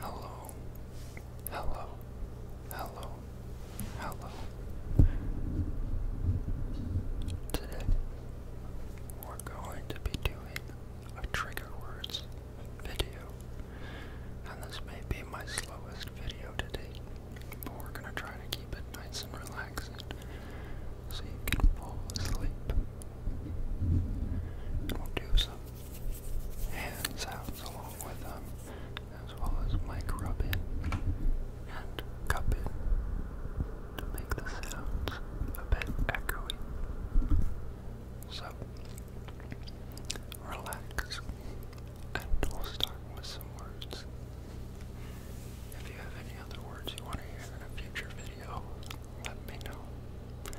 Hello, hello, hello, hello. Today, we're going to be doing a trigger words video, and this may be my slowest video to date, but we're gonna try to keep it nice and relaxing so you can fall asleep. we'll do some Hands out along with them, as well as mic rubbing and cup it to make the sounds a bit echoey. So, relax, and we'll start with some words. If you have any other words you want to hear in a future video, let me know.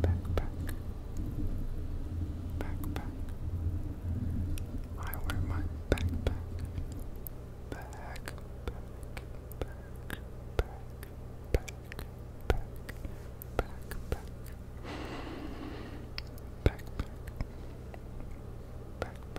backpack, backpack. I wear my backpack, backpack, backpack, backpack, backpack, backpack, backpack. backpack. Backpack. Backpack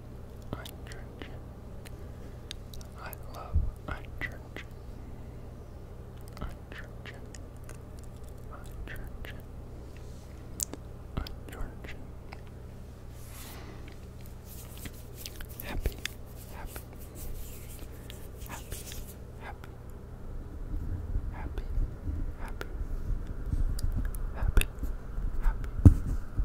Church. I love I Church. I Church. I happy, I happy, happy, happy, happy, happy, happy, happy,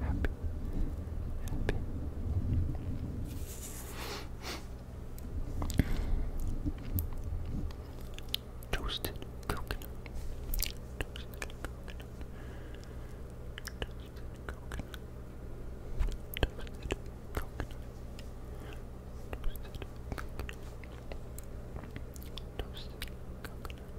happy, happy. Toasted coconut. Toasted coconut. Toasted coconut. Toasted coconut. Toasted coconut. Toasted coconut.